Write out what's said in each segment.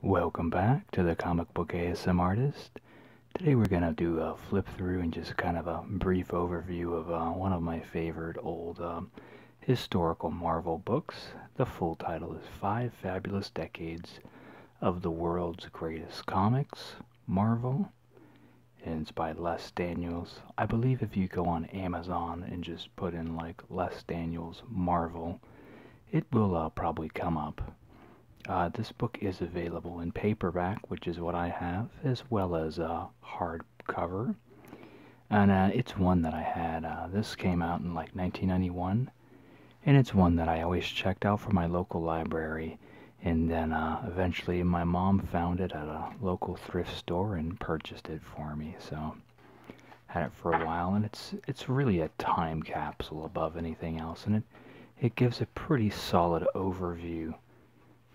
Welcome back to the Comic Book ASM Artist. Today we're going to do a flip through and just kind of a brief overview of uh, one of my favorite old um, historical Marvel books. The full title is Five Fabulous Decades of the World's Greatest Comics, Marvel. And it's by Les Daniels. I believe if you go on Amazon and just put in like Les Daniels Marvel, it will uh, probably come up. Uh, this book is available in paperback, which is what I have, as well as a uh, hardcover. And it's one that I had. this came out in like 1991, and it's one that I always checked out from my local library. And then eventually my mom found it at a local thrift store and purchased it for me. So had it for a while, and it's it's really a time capsule above anything else, and it it gives a pretty solid overview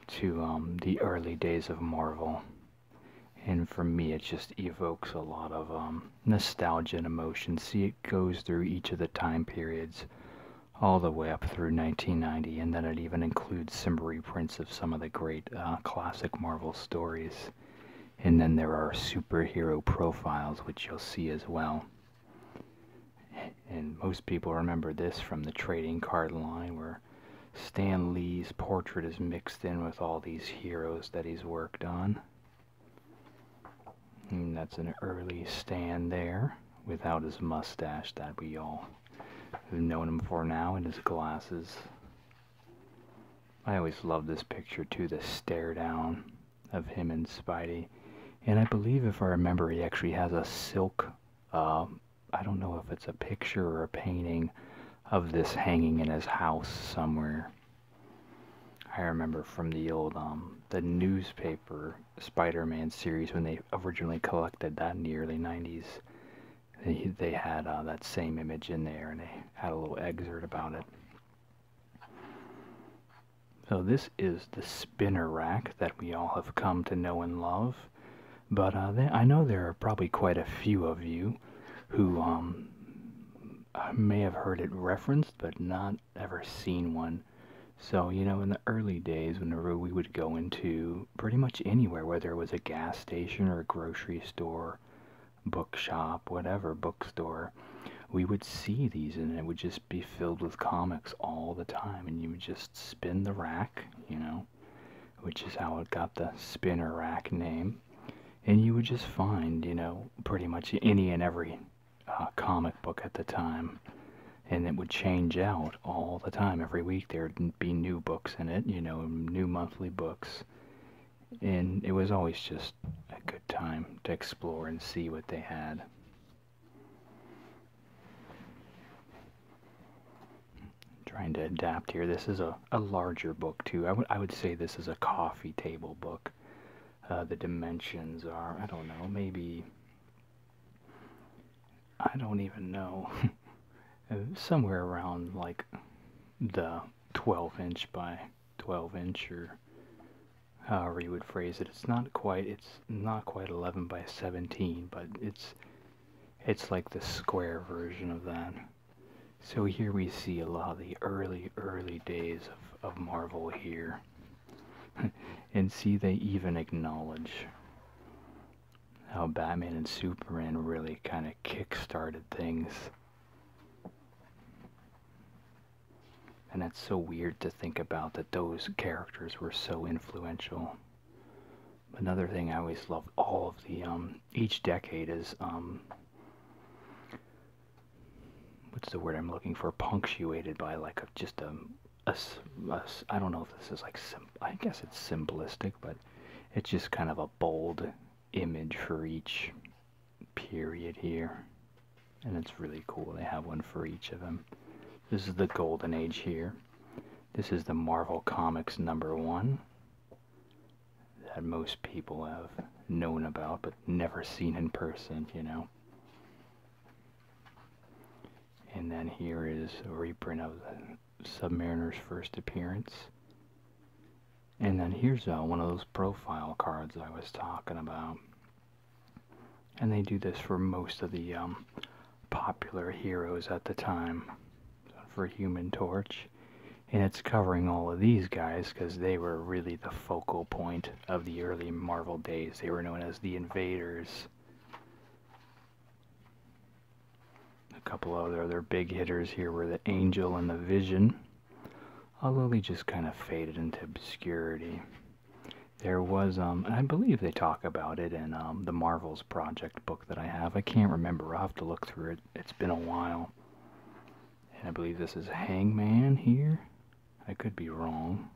to um, the early days of Marvel. And for me, it just evokes a lot of um, nostalgia and emotion. See, it goes through each of the time periods all the way up through 1990, and then it even includes some reprints of some of the great uh, classic Marvel stories. And then there are superhero profiles, which you'll see as well. And most people remember this from the trading card line, where Stan Lee's portrait is mixed in with all these heroes that he's worked on. that's an early Stan there, without his mustache that we all have known him for now, and his glasses I always love this picture too, the stare down of him and Spidey. And I believe, if I remember, he actually has a silk, uh, I don't know if it's a picture or a painting of this hanging in his house somewhere. I remember from the old um, the newspaper Spider-Man series when they originally collected that in the early 90s. They, they had uh, that same image in there and they had a little excerpt about it. So, this is the spinner rack that we all have come to know and love. But uh, I know there are probably quite a few of you who um, may have heard it referenced but not ever seen one. So, you know, in the early days, whenever we would go into pretty much anywhere, whether it was a gas station or a grocery store bookshop, whatever, bookstore, we would see these and it would just be filled with comics all the time. And you would just spin the rack, you know, which is how it got the spinner rack name. And you would just find, you know, pretty much any and every uh, comic book at the time. And it would change out all the time. Every week there'd be new books in it, you know, new monthly books. And it was always just a good time to explore and see what they had. Trying to adapt here. This is a, a larger book, too. I would, I would say this is a coffee table book. Uh, the dimensions are, I don't know, maybe. I don't even know. Uh, somewhere around like the 12 inch by 12 inch or however you would phrase it. It's not quite it's not quite 11 by 17, but it's it's like the square version of that. So here we see a lot of the early early days of, of Marvel here. and see they even acknowledge how Batman and Superman really kind of kick-started things. And that's so weird to think about that those characters were so influential. Another thing I always love all of the um each decade is um what's the word I'm looking for punctuated by like just a, a, a I don't know if this is like sim I guess it's simplistic but it's just kind of a bold image for each period here. And it's really cool. They have one for each of them. This is the Golden Age here. This is the Marvel Comics number one that most people have known about but never seen in person, you know. And then here is a reprint of the Submariner's first appearance. And then here's uh, one of those profile cards I was talking about. And they do this for most of the um, popular heroes at the time for Human Torch. And it's covering all of these guys because they were really the focal point of the early Marvel days. They were known as the Invaders. A couple of other big hitters here were the Angel and the Vision. Although Lily just kind of faded into obscurity. There was, um, I believe they talk about it in um, the Marvels Project book that I have. I can't remember. I'll have to look through it. It's been a while. And I believe this is Hangman here. I could be wrong.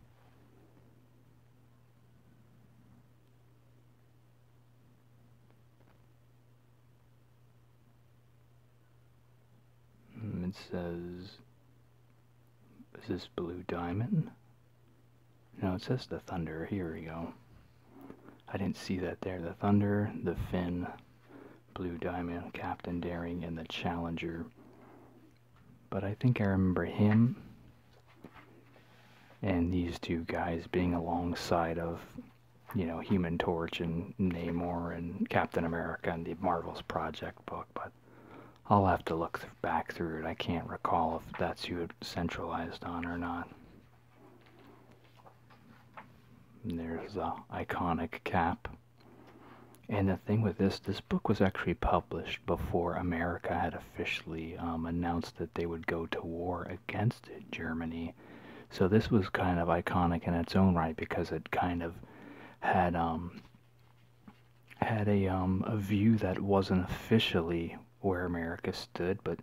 Hmm, it says, is this Blue Diamond? No, it says the Thunder. Here we go. I didn't see that there. The Thunder, the Finn, Blue Diamond, Captain Daring, and the Challenger. But I think I remember him and these two guys being alongside of, you know, Human Torch and Namor and Captain America and the Marvels Project checkbook, but I'll have to look back through it. I can't recall if that's you centralized on or not. there's the iconic cap. And the thing with this, this book was actually published before America had officially um, announced that they would go to war against Germany. So this was kind of iconic in its own right because it kind of had um, had a um, a view that wasn't officially where America stood, but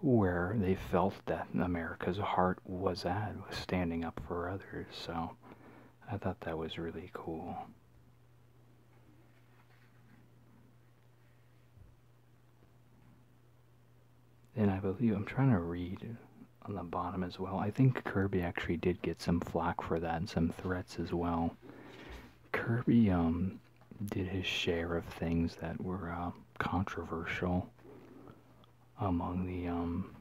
where they felt that America's heart was at was standing up for others. So I thought that was really cool. And I believe I'm trying to read on the bottom as well. I think Kirby actually did get some flack for that and some threats as well. Kirby um did his share of things that were uh, controversial among the um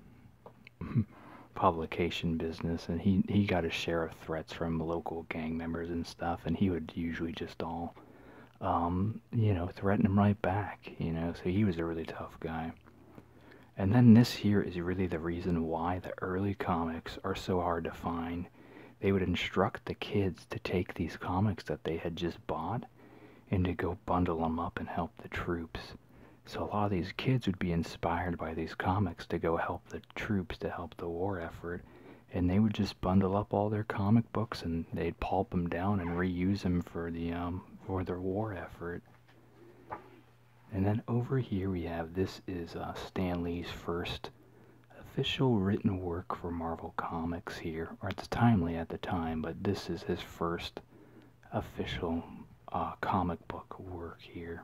publication business and he he got a share of threats from local gang members and stuff and he would usually just all um you know threaten him right back you know so he was a really tough guy and then this here is really the reason why the early comics are so hard to find. They would instruct the kids to take these comics that they had just bought and to go bundle them up and help the troops. So a lot of these kids would be inspired by these comics to go help the troops, to help the war effort. And they would just bundle up all their comic books and they'd pulp them down and reuse them for the um, for their war effort. And then over here we have this is uh, Stan Lee's first official written work for Marvel Comics here, or it's timely at the time, but this is his first official uh, comic book work here.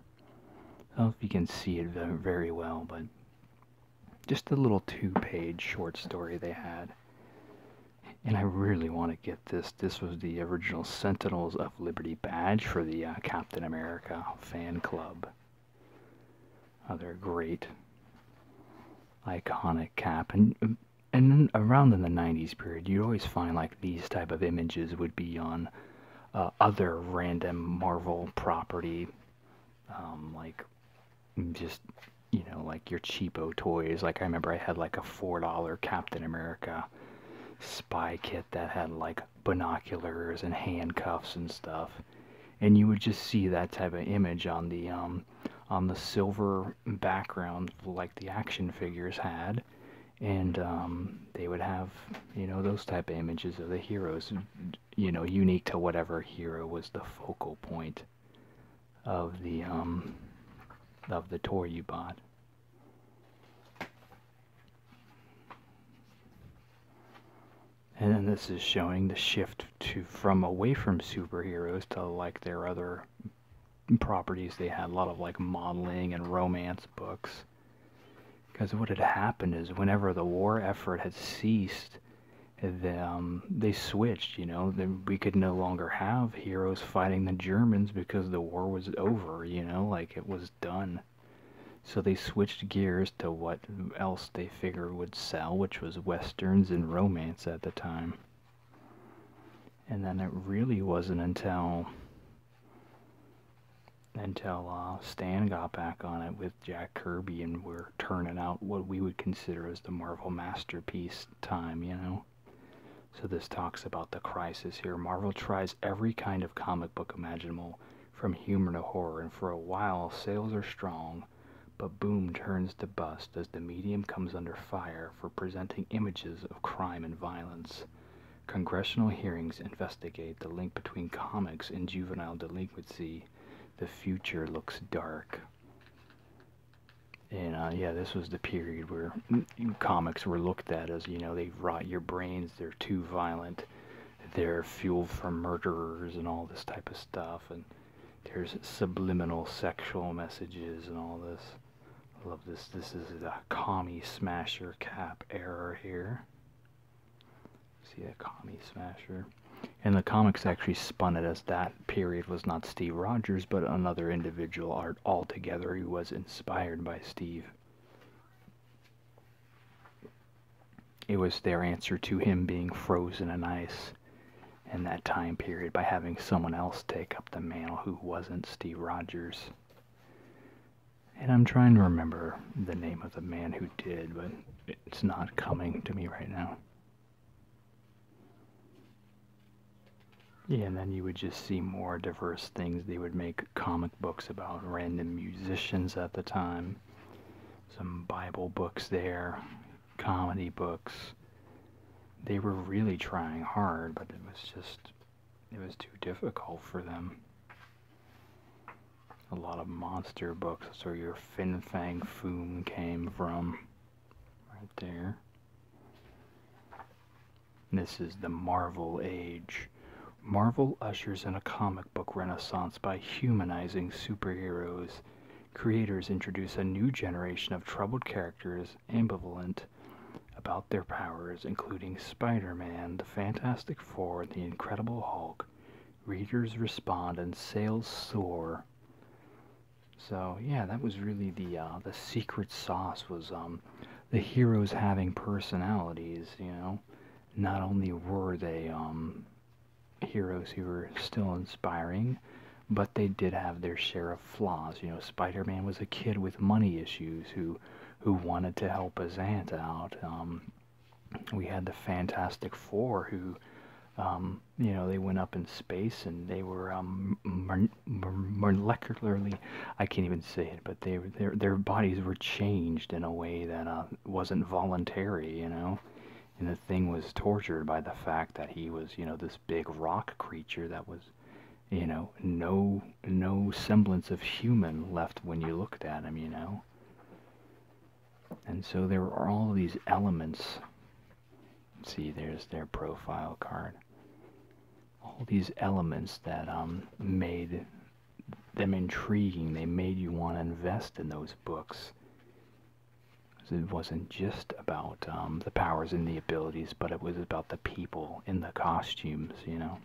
don't know if you can see it very well, but just a little two-page short story they had. And I really want to get this. This was the original Sentinels of. Liberty badge for the uh, Captain America fan club. Other great iconic cap and and around in the 90s period you'd always find like these type of images would be on uh, other random marvel property um, like just you know like your cheapo toys like i remember i had like a four dollar captain america spy kit that had like binoculars and handcuffs and stuff and you would just see that type of image on the um, on the silver background like the action figures had and um, they would have you know those type of images of the heroes you know unique to whatever hero was the focal point of the um, of the toy you bought and then this is showing the shift to from away from superheroes to like their other properties they had a lot of like modeling and romance books. Because what had happened is whenever the war effort had ceased, the, they switched, you know, we could no longer have heroes fighting the Germans because the war was over, you know, like it was done. So they switched gears to what else they figure would sell, which was westerns and romance at the time. And then it really wasn't until until uh, Stan got back on it with Jack Kirby and we're turning out what we would consider as the Marvel masterpiece time, you know. So this talks about the crisis here. Marvel tries every kind of comic book imaginable, from humor to horror, and for a while sales are strong, but boom turns to bust as the medium comes under fire for presenting images of crime and violence. Congressional hearings investigate the link between comics and juvenile delinquency. The future looks dark. And uh, yeah, this was the period where comics were looked at as you know they rot your brains, they're too violent, they're fuel for murderers and all this type of stuff, and there's subliminal sexual messages and all this. I love this. This is a commie smasher cap error here. See that commie smasher. And the comics actually spun it as that period was not Steve Rogers, but another individual art altogether who was inspired by Steve. It was their answer to him being frozen in ice in that time period by having someone else take up the mantle who wasn't Steve Rogers. And I'm trying to remember the name of the man who did, but it's not coming to me right now. Yeah, and then you would just see more diverse things. They would make comic books about random musicians at the time. Some Bible books there, comedy books. They were really trying hard, but it was just, it was too difficult for them. A lot of monster books, that's where your Fin Fang Foom came from. Right there. This is the Marvel Age. Marvel ushers in a comic book renaissance by humanizing superheroes. Creators introduce a new generation of troubled characters ambivalent about their powers, including Spider Man, the Fantastic Four, the Incredible Hulk. Readers respond and sales soar. So yeah, that was really the uh, the secret sauce was um, the heroes having personalities, you know. Not only were they um, heroes who were still inspiring, but they did have their share of flaws. You know, Spider-Man was a kid with money issues who who wanted to help his aunt out. Um, we had the Fantastic Four who, um, you know, they went up in space and they were um, molecularly I can't even say it, but their their bodies were changed in a way that uh, wasn't voluntary, you know. And the thing was tortured by the fact that he was, you know, this big rock creature that was, you know, no no semblance of human left when you looked at him, you know. And so there were all these elements. See, there's their profile card all these elements that um, made them intriguing. They made you want to invest in those books. It wasn't just about um, the powers and the abilities, but it was about the people in the costumes, you know.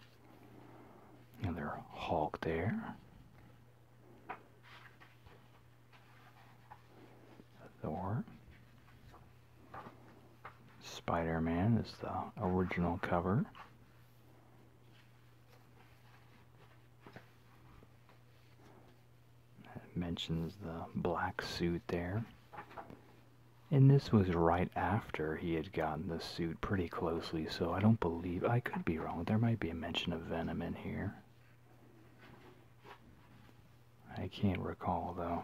Another Hulk there. Thor. Spider-Man is the original cover. It mentions the black suit there. And this was right after he had gotten the suit pretty closely, so I don't believe. I could be wrong. There might be a mention of Venom in here. I can't recall, though.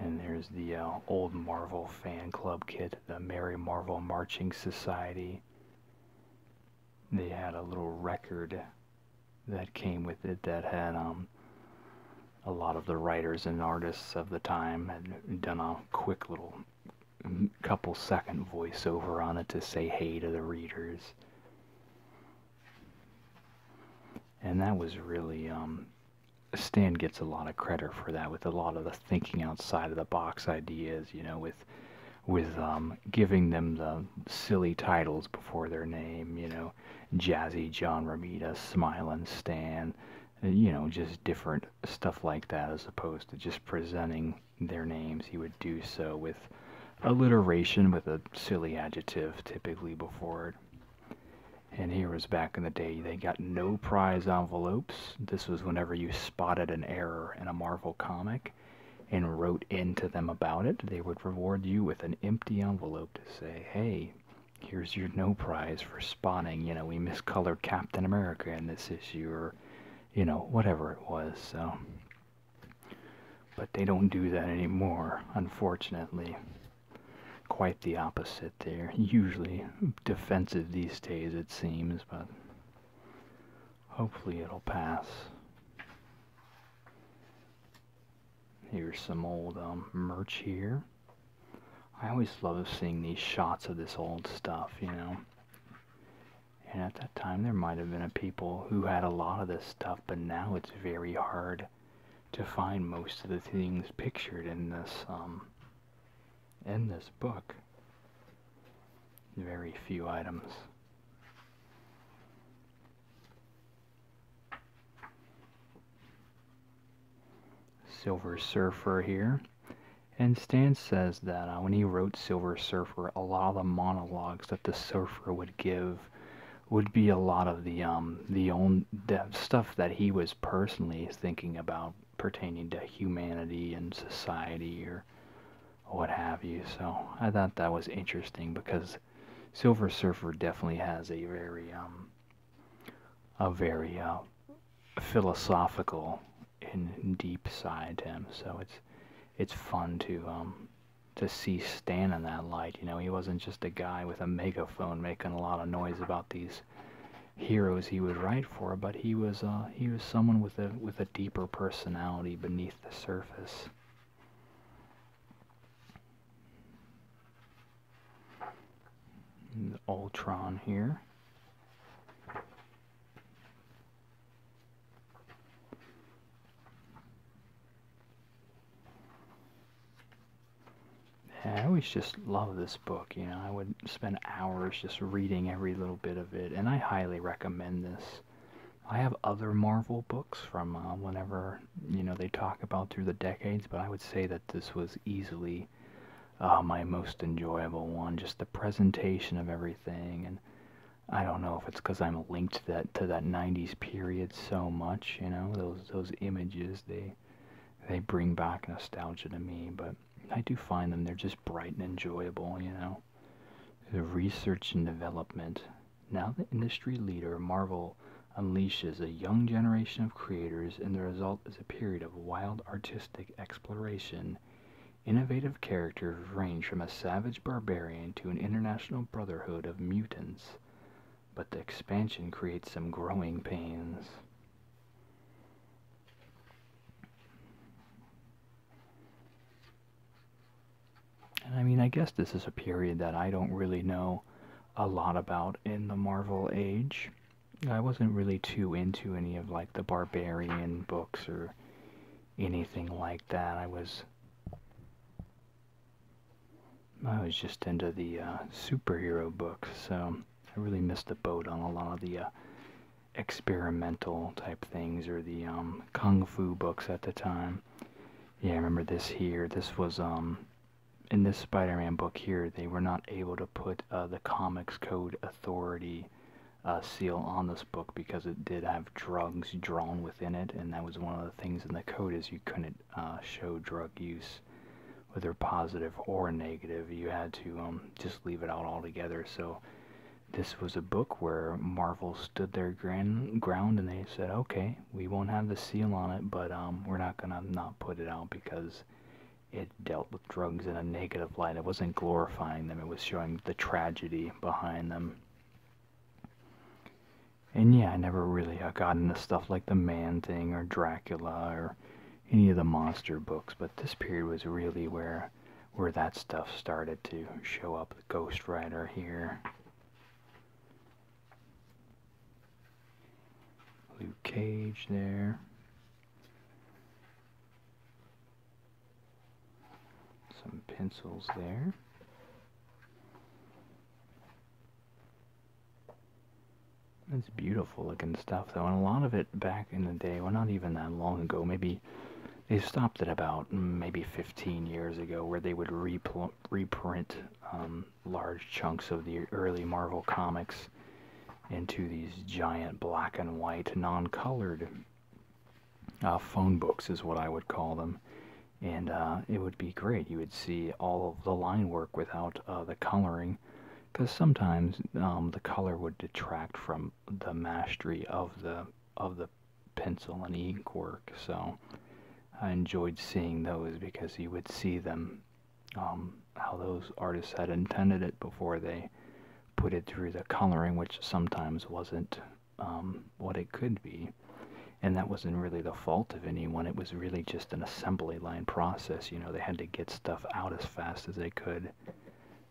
And there's the uh, old Marvel fan club kit, the Merry Marvel Marching Society. They had a little record that came with it that had um, a lot of the writers and artists of the time had done a quick little couple second voiceover on it to say hey to the readers. And that was really, um, Stan gets a lot of credit for that with a lot of the thinking outside of the box ideas, you know, with with um, giving them the silly titles before their name, you know, Jazzy John Ramita, Smiling Stan, uh, you know, just different stuff like that as opposed to just presenting their names. He would do so with alliteration with a silly adjective typically before it. And here was back in the day, they got no prize envelopes. This was whenever you spotted an error in a Marvel comic and wrote into them about it. They would reward you with an empty envelope to say, hey, here's your no prize for spotting. You know, we miscolored Captain America in this issue or, you know, whatever it was. So but they don't do that anymore, unfortunately. Quite the opposite. They're usually defensive these days, it seems, but hopefully it'll pass. Here's some old um, merch here. I always love seeing these shots of this old stuff, you know. And at that time, there might have been people who had a lot of this stuff, but now it's very hard to find most of the things pictured in this um in this book. Very few items. Silver Surfer here. And Stan says that uh, when he wrote Silver Surfer, a lot of the monologues that the surfer would give would be a lot of the um the own the stuff that he was personally thinking about pertaining to humanity and society or what have you. So I thought that was interesting because Silver Surfer definitely has a very um a very uh, philosophical and deep side to him. So it's it's fun to um to see Stan in that light. You know, he wasn't just a guy with a megaphone making a lot of noise about these heroes he would write for, but he was uh, he was someone with a with a deeper personality beneath the surface. And Ultron here. I always just love this book, you know. I would spend hours just reading every little bit of it, and I highly recommend this. I have other Marvel books from uh, whenever, you know, they talk about through the decades, but I would say that this was easily uh, my most enjoyable one. Just the presentation of everything, and I don't know if it's because I'm linked to that, to that 90s period so much, you know, those those images they they bring back nostalgia to me, but I do find them they're just bright and enjoyable, you know. The research and development. Now the industry leader, Marvel unleashes a young generation of creators and the result is a period of wild artistic exploration. Innovative characters range from a savage barbarian to an international brotherhood of mutants but the expansion creates some growing pains. And I mean, I guess this is a period that I don't really know a lot about in the Marvel age. I wasn't really too into any of like the Barbarian books or anything like that. I was I was just into the uh, superhero books, so I really missed the boat on a lot of the uh, experimental type things or the um, kung fu books at the time. Yeah, I remember this here. This was um, in this Spider-Man book here. They were not able to put uh, the Comics Code Authority seal on this book because it did have drugs drawn within it, and that was one of the things in the code is you couldn't uh, show drug use, whether positive or negative, you had to um, just leave it out altogether. So this was a book where Marvel stood their ground and they said, okay, we won't have the seal on it, but um, we're not gonna not put it out because it dealt with drugs in a negative light. It wasn't glorifying them. It was showing the tragedy behind them. And yeah, I never really got into stuff like the Man Thing or Dracula or any of the monster books, but this period was really where where that stuff started to show up. The Ghost Rider here, Luke Cage there. Some pencils there. It's beautiful looking stuff though, and a lot of it back in the day, well not even that long ago, maybe they stopped it about maybe 15 years ago where they would reprint um, large chunks of the early Marvel comics into these giant black and white non-colored uh, phone books is what I would call them and uh, it would be great. You would see all of the line work without uh, the coloring, because sometimes um, the color would detract from the mastery of the of the pencil and ink work. So I enjoyed seeing those because you would see them um, how those artists had intended it before they put it through the coloring, which sometimes wasn't um, what it could be and that wasn't really the fault of anyone. It was really just an assembly line process. You know, they had to get stuff out as fast as they could.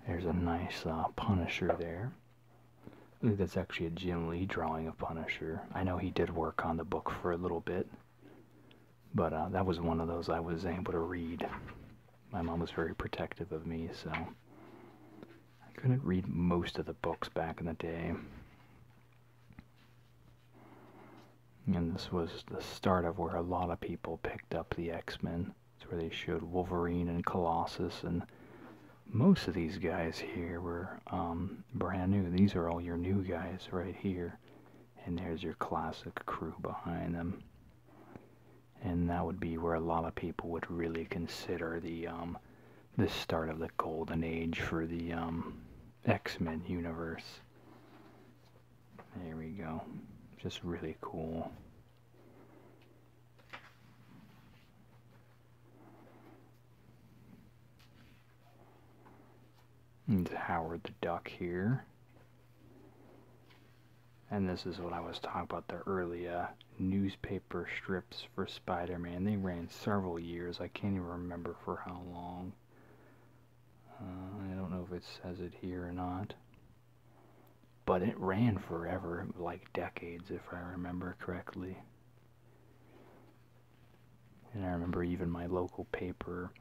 There's a nice uh, Punisher there. I think that's actually a Jim Lee drawing of Punisher. I know he did work on the book for a little bit, but uh, that was one of those I was able to read. My mom was very protective of me, so I couldn't read most of the books back in the day. And this was the start of where a lot of people picked up the X Men. It's where they showed Wolverine and Colossus, and most of these guys here were um, brand new. These are all your new guys right here. And there's your classic crew behind them. And that would be where a lot of people would really consider the um, the start of the golden age for the um, X Men universe. There we go. Just really cool. And Howard the Duck here. And this is what I was talking about the earlier uh, newspaper strips for Spider Man. They ran several years. I can't even remember for how long. Uh, I don't know if it says it here or not. But it ran forever, like decades, if I remember correctly. And I remember even my local paper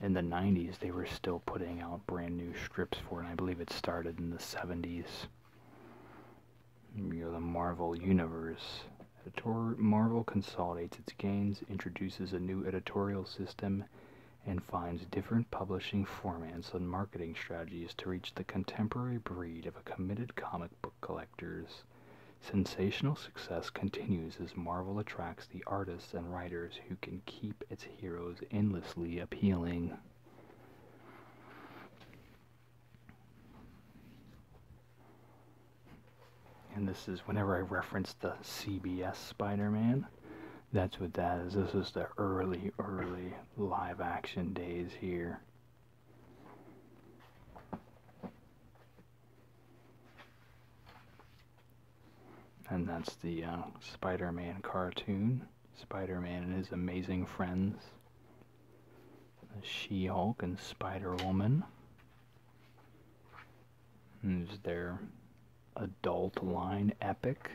in the 90s, they were still putting out brand new strips for it. And I believe it started in the 70s. You know, the Marvel Universe Editor Marvel consolidates its gains, introduces a new editorial system, and finds different publishing formats and marketing strategies to reach the contemporary breed of committed comic book collectors. Sensational success continues as Marvel attracts the artists and writers who can keep its heroes endlessly appealing. And this is whenever I reference the CBS Spider Man, that's what that is. This is the early, early live action days here. And that's the uh, Spider Man cartoon. Spider Man and his amazing friends. She Hulk and Spider Woman. Hmm, is their adult line epic?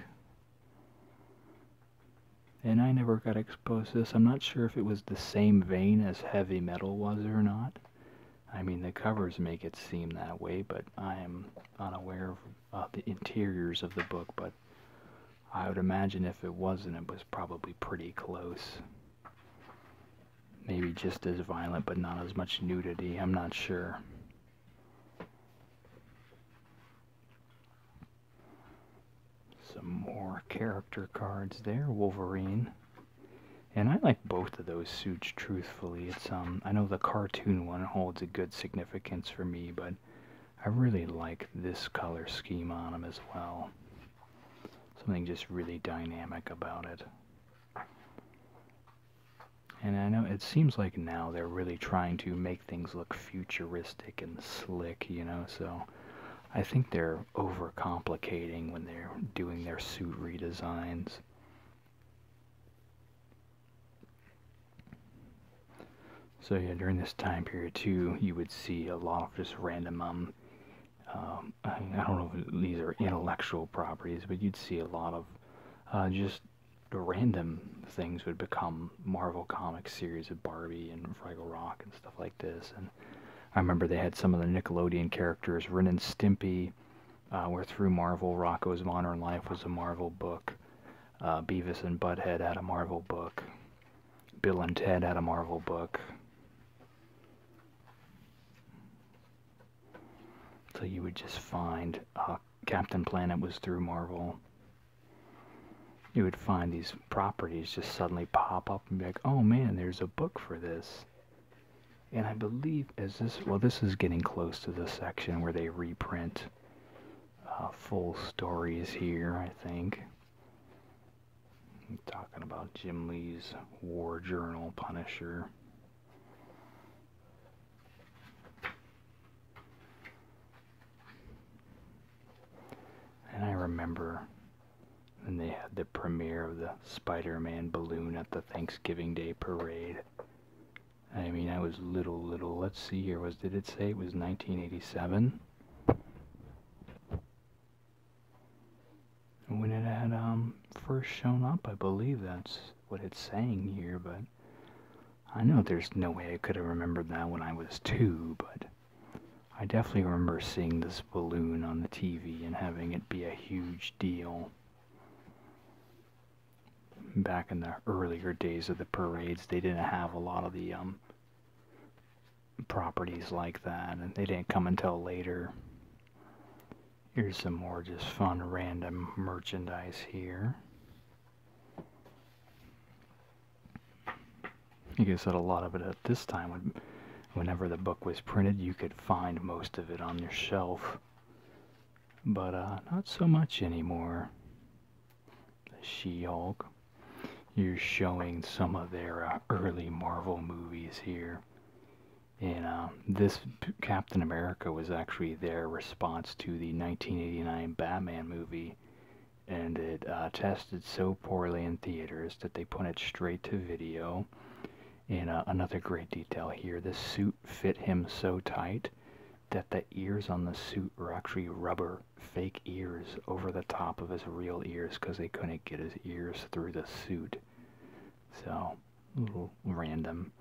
And I never got exposed to this. I'm not sure if it was the same vein as heavy metal was or not. I mean, the covers make it seem that way, but I am unaware of the interiors of the book. But I would imagine if it wasn't, it was probably pretty close. Maybe just as violent, but not as much nudity. I'm not sure. Some more character cards there. Wolverine. And I like both of those suits, truthfully. It's um, I know the cartoon one holds a good significance for me, but I really like this color scheme on them as well. Something just really dynamic about it. And I know it seems like now they're really trying to make things look futuristic and slick, you know, so I think they're overcomplicating when they're doing their suit redesigns. So yeah, during this time period too, you would see a lot of just random um um, I, don't know if these are intellectual properties, but you'd see a lot of uh, just random things would become Marvel comic series of Barbie and Fraggle Rock and stuff like this. And I remember they had some of the Nickelodeon characters, Ren and Stimpy, uh, were through Marvel. Rocco's Modern Life was a Marvel book. Uh, Beavis and Butthead had a Marvel book. Bill and Ted had a Marvel book. So you would just find uh, Captain Planet was through Marvel. You would find these properties just suddenly pop up and be like, oh man, there's a book for this. And I believe, as this, well, this is getting close to the section where they reprint uh, full stories here, I think. talking about Jim Lee's War Journal Punisher. And I remember when they had the premiere of the Spider Man balloon at the Thanksgiving Day parade. I mean, I was little, little. Let's see here. Was did it say it was 1987? when it had um, first shown up, I believe that's what it's saying here, but I know there's no way I could have remembered that when I was two, but I definitely remember seeing this balloon on the TV and having it be a huge deal. Back in the earlier days of the parades, they didn't have a lot of the um, properties like that, and they didn't come until later. Here's some more just fun random merchandise here. Like I said, a lot of it at this time, would, whenever the book was printed, you could find most of it on your shelf. But uh, not so much anymore. The She-Hulk. You're showing some of their uh, early Marvel movies here. And um, this Captain America was actually their response to the 1989 Batman movie, and it uh, tested so poorly in theaters that they put it straight to video. And uh, another great detail here the suit fit him so tight that the ears on the suit were actually rubber fake ears over the top of his real ears because they couldn't get his ears through the suit. So little random.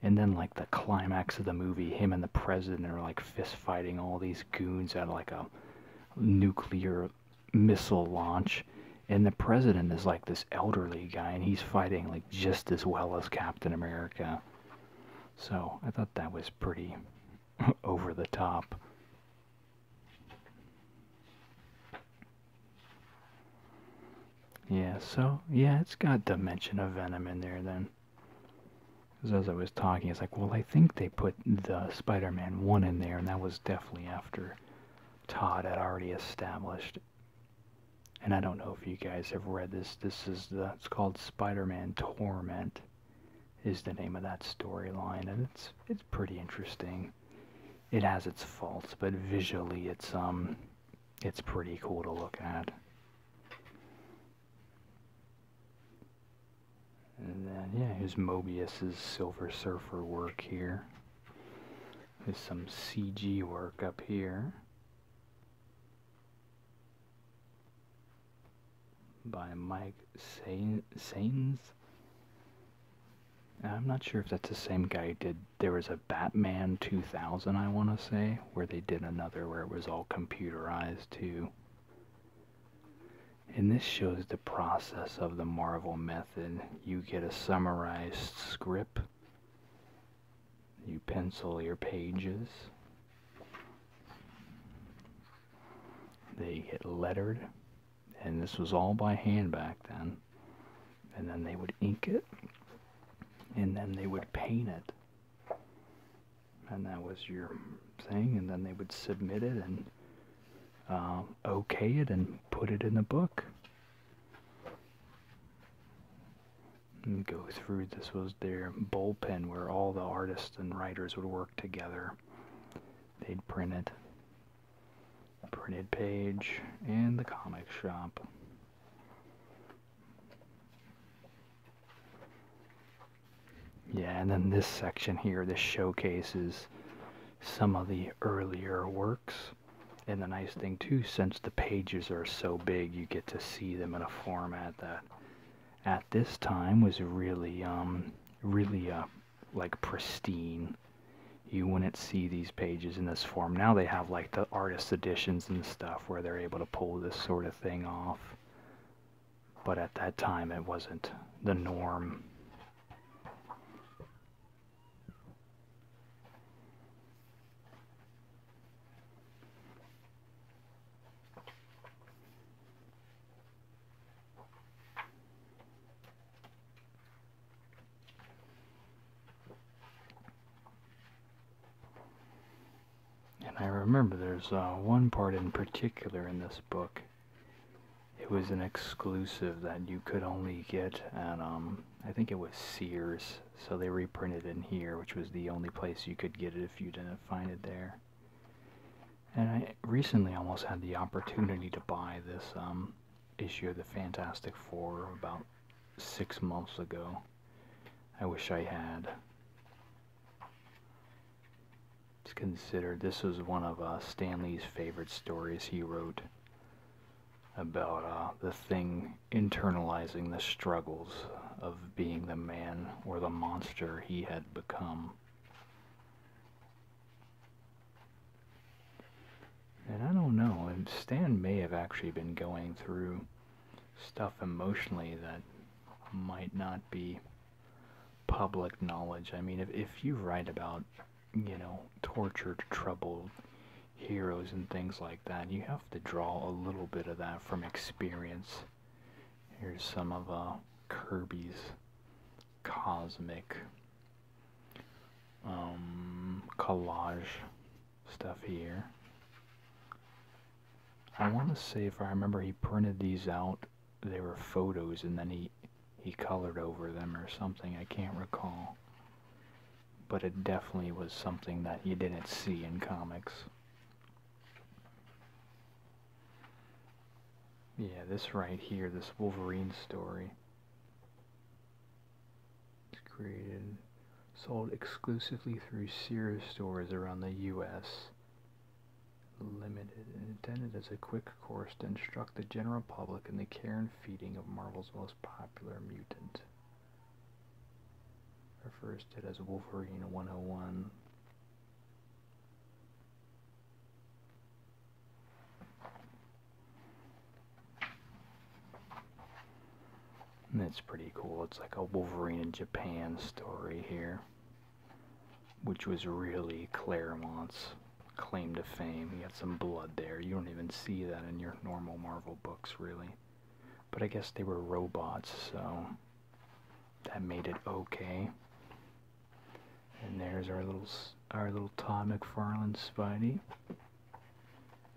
And then, like the climax of the movie, him and the president are like fist fighting all these goons at like a nuclear missile launch. And the president is like this elderly guy, and he's fighting like just as well as Captain America. So I thought that was pretty over the top. Yeah, so, yeah, it's got the mention of Venom in there then. Because as I was talking, it's like, well, I think they put the Spider Man 1 in there, and that was definitely after Todd had already established. And I don't know if you guys have read this. This is the, it's called Spider Man Torment, is the name of that storyline, and it's, it's pretty interesting. It has its faults, but visually it's, um, it's pretty cool to look at. And then, yeah, here's Mobius's Silver Surfer work here. There's some CG work up here. By Mike Sains. I'm not sure if that's the same guy did. There was a Batman 2000, I want to say, where they did another where it was all computerized too. And this shows the process of the Marvel method. You get a summarized script, you pencil your pages, they get lettered, and this was all by hand back then. And then they would ink it and then they would paint it and that was your thing and then they would submit it and um, okay it and put it in the book go through this was their bullpen where all the artists and writers would work together they'd print it printed page and the comic shop yeah, and then this section here, this showcases some of the earlier works. And the nice thing too, since the pages are so big, you get to see them in a format that at this time was really, um, really, uh, like pristine you wouldn't see these pages in this form. Now they have like the artist editions and stuff where they're able to pull this sort of thing off. But at that time it wasn't the norm. And I remember there's uh, one part in particular in this book. It was an exclusive that you could only get at, um, I think it was Sears, so they reprinted it in here, which was the only place you could get it if you didn't find it there. And I recently almost had the opportunity to buy this um, issue of the Fantastic Four about six months ago. I wish I had. It's considered this was one of uh, Stanley's favorite stories he wrote about uh, the thing internalizing the struggles of being the man or the monster he had become. And I don't know, Stan may have actually been going through stuff emotionally that might not be public knowledge. I mean, if, if you write about, you know, tortured, troubled heroes and things like that, you have to draw a little bit of that from experience. Here's some of uh, Kirby's cosmic um, collage stuff here. I want to say if I remember he printed these out, they were photos and then he he colored over them or something, I can't recall. But it definitely was something that you didn't see in comics. Yeah, this right here, this Wolverine story. It's created, sold exclusively through Sears stores around the U.S. Limited and intended as a quick course to instruct the general public in the care and feeding of Marvel's most popular mutant. Refers to as Wolverine 101. And it's pretty cool. It's like a Wolverine in Japan story here, which was really Claremont's claim to fame. He had some blood there. You don't even see that in your normal Marvel books, really. But I guess they were robots, so that made it okay. And there's our little our little Todd McFarlane Spidey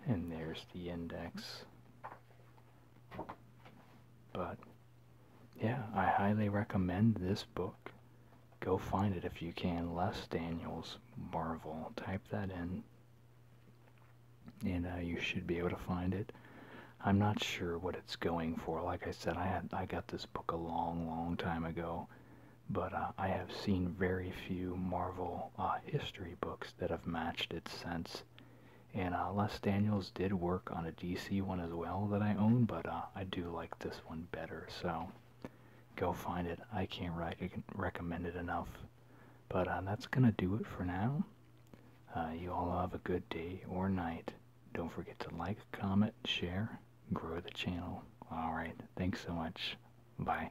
and there's the index. But yeah, I highly recommend this book. Go find it if you can. Les Daniels Marvel. Type that in, and uh, you should be able to find it. I'm not sure what it's going for. Like I said, I had I got this book a long, long time ago, but uh, I have seen very few Marvel uh, history books that have matched it since. And uh, Les Daniels did work on a DC one as well that I own, but uh, I do like this one better. So go find it. I can't re recommend it enough. But uh, that's going to do it for now. Uh, you all have a good day or night. Don't forget to like, comment, share, grow the channel. Alright, thanks so much. Bye.